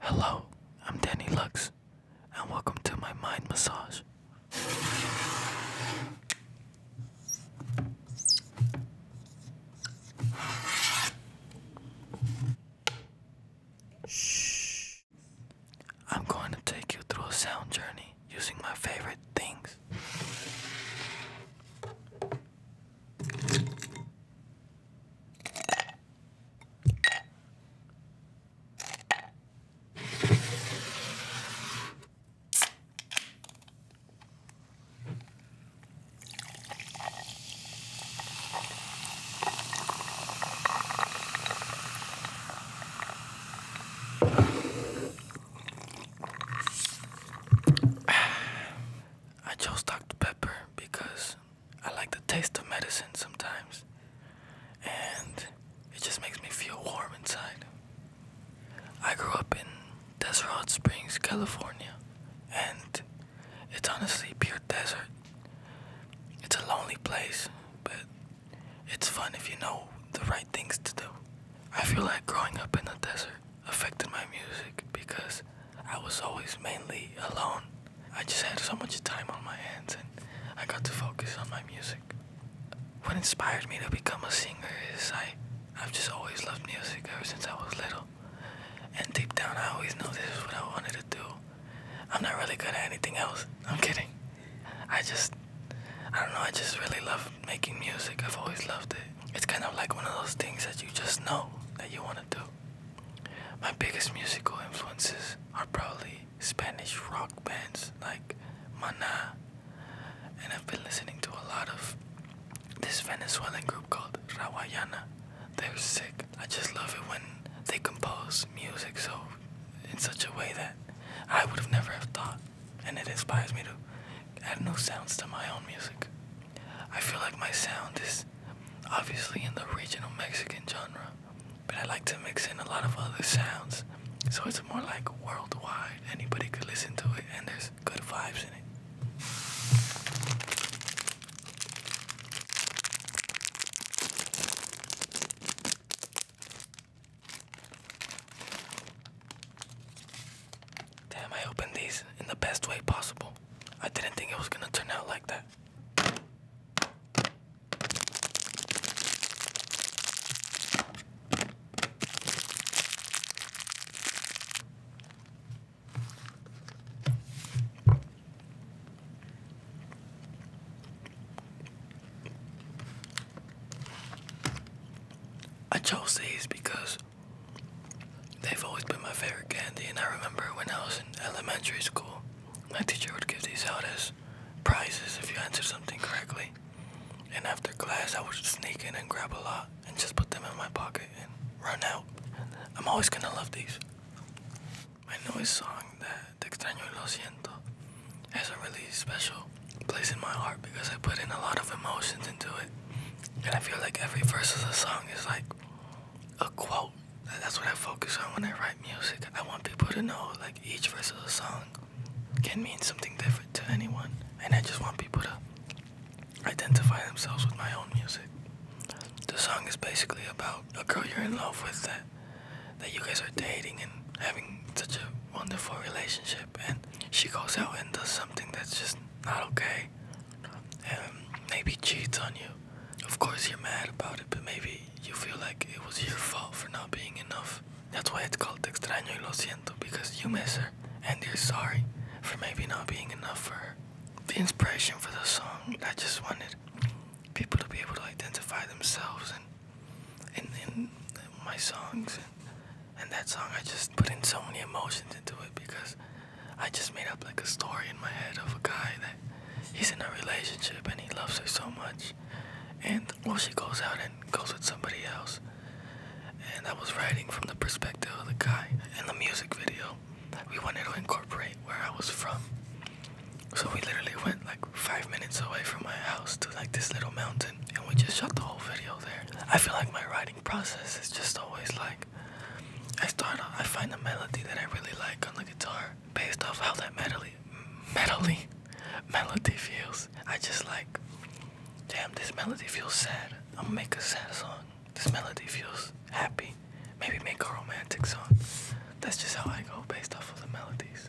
Hello, I'm Danny Lux, and welcome to my mind massage. Shh. I'm going to take you through a sound journey using my favorite things. I chose Dr. Pepper because I like the taste of medicine sometimes, and it just makes me feel warm inside. I grew up in Desert Springs, California, and it's honestly pure desert. It's a lonely place, but it's fun if you know the right things to do. I feel like growing up in the desert affected my music because I was always mainly alone. I just had so much time on my hands and I got to focus on my music. What inspired me to become a singer is I, I've just always loved music ever since I was little. And deep down, I always knew this is what I wanted to do. I'm not really good at anything else. I'm kidding. I just, I don't know, I just really love making music. I've always loved it it's kind of like one of those things that you just know that you want to do. My biggest musical influences are probably Spanish rock bands like Mana, and I've been listening to a lot of this Venezuelan group called Rawayana. They're sick. I just love it when they compose music so in such a way that I would have never have thought, and it inspires me to add no sounds to my own music. I feel like my sound is obviously in the regional Mexican genre, but I like to mix in a lot of other sounds, so it's more like worldwide. Anybody could listen to it, and there's good vibes in it. Damn, I opened these in the best way possible. I didn't think it was gonna turn out like that. I chose these because They've always been my favorite candy, and I remember when I was in elementary school, my teacher would give these out as prizes if you answered something correctly. And after class, I would sneak in and grab a lot and just put them in my pocket and run out. I'm always gonna love these. My newest song, that Extraño Lo Siento, has a really special place in my heart because I put in a lot of emotions into it. And I feel like every verse of the song is like a quote. That's what I focus on when I write music. I want people to know like each verse of the song can mean something different to anyone. And I just want people to identify themselves with my own music. The song is basically about a girl you're in love with that that you guys are dating and having such a wonderful relationship and she goes out and does something that's just not okay and maybe cheats on you. Of course, you're mad about it, but maybe you feel like it was your fault for not being enough. That's why it's called extraño y lo siento, because you miss her and you're sorry for maybe not being enough for her. The inspiration for the song, I just wanted people to be able to identify themselves in, in, my songs and that song, I just put in so many emotions into it because I just made up like a story in my head of a guy that he's in a relationship and he loves her so much. And well, she goes out and goes with somebody else. And I was writing from the perspective of the guy. In the music video, we wanted to incorporate where I was from. So we literally went like five minutes away from my house to like this little mountain and we just shot the whole video there. I feel like my writing process is just always like I start I find a melody that I really like on the guitar based off how that melody melody melody feels. I just like damn this melody feels sad. I'm gonna make a sad song. This melody feels happy. Maybe make a romantic song. That's just how I go based off of the melodies.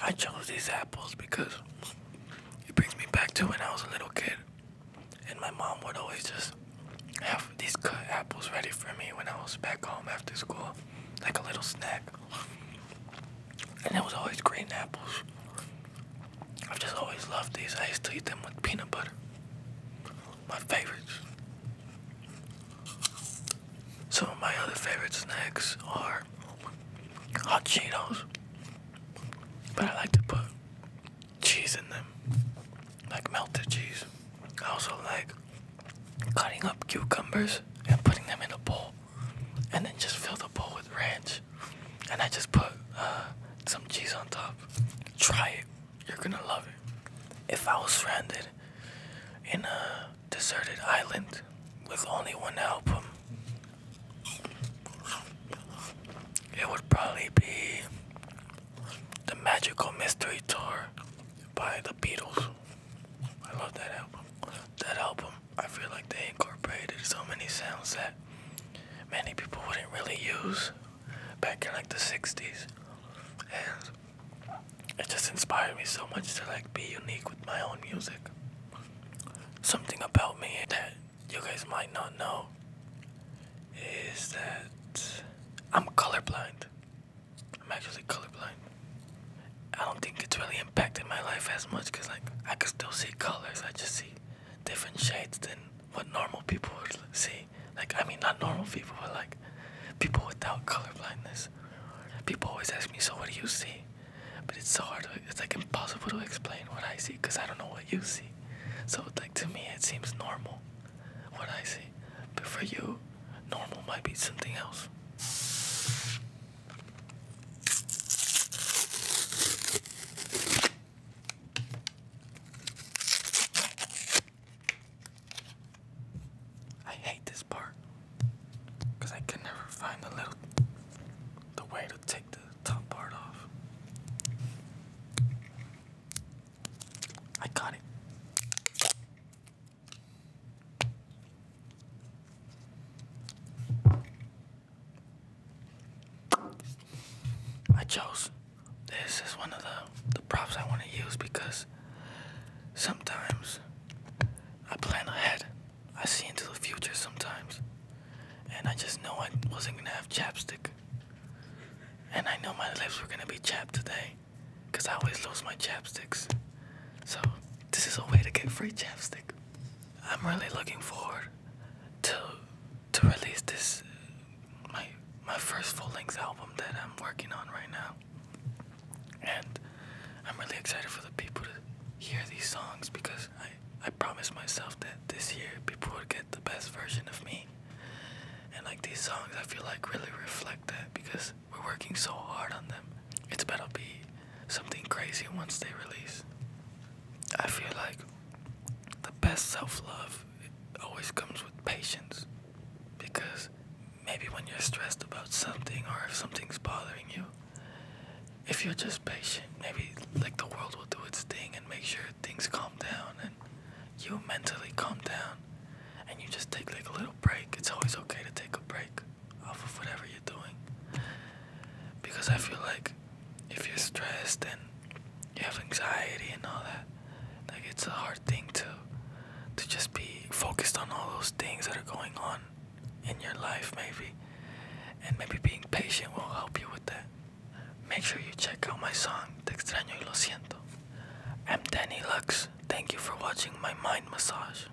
I chose these apples because it brings me back to when I was a little kid. And my mom would always just have these cut apples ready for me when I was back home after school, like a little snack and it was always green apples. I've just always loved these. I used to eat them with peanut butter. My favorites. Some of my other favorite snacks are hot Cheetos, but I like to put cheese in them, like melted cheese. I also like cutting up cucumbers and putting them in a bowl and then just fill the bowl with ranch. And I just put uh, some cheese on top. Try it. You're gonna love it. If I was stranded in a deserted island with only one album, it would probably be The Magical Mystery Tour by the Beatles. I love that album that album, I feel like they incorporated so many sounds that many people wouldn't really use back in like the 60s. And it just inspired me so much to like be unique with my own music. Something about me that you guys might not know is that I'm colorblind. I'm actually colorblind. I don't think it's really impacted my life as much because like I can still see colors. I just see different shades than what normal people would see. Like I mean, not normal people, but like people without color blindness. People always ask me, "So what do you see?" But it's so hard. To, it's like impossible to explain what I see because I don't know what you see. So like to me, it seems normal what I see, but for you, normal might be something else. I hate this part because I can never find the little the way to take the top part off. I got it. I chose this as one of the, the props I want to use because sometimes I plan ahead. I see into the future sometimes. And I just know I wasn't going to have chapstick. And I know my lips were going to be chapped today because I always lose my chapsticks. So, this is a way to get free chapstick. I'm really looking forward to to release this my my first full-length album that I'm working on right now. And I'm really excited for the people to hear these songs because I I promised myself that this year people would get the best version of me. And like these songs I feel like really reflect that because we're working so hard on them. It's better be something crazy once they release. I feel like the best self love always comes with patience because maybe when you're stressed about something or if something's bothering you, if you're just patient, maybe like the world will do its thing and make sure things calm down and you mentally calm down and you just take like a little break. It's always okay to take a break off of whatever you're doing. Because I feel like if you're stressed and you have anxiety and all that, like it's a hard thing to to just be focused on all those things that are going on in your life maybe. And maybe being patient will help you with that. Make sure you check out my song, Te extraño y lo siento. I'm Danny Lux. Thank you for watching my mind massage.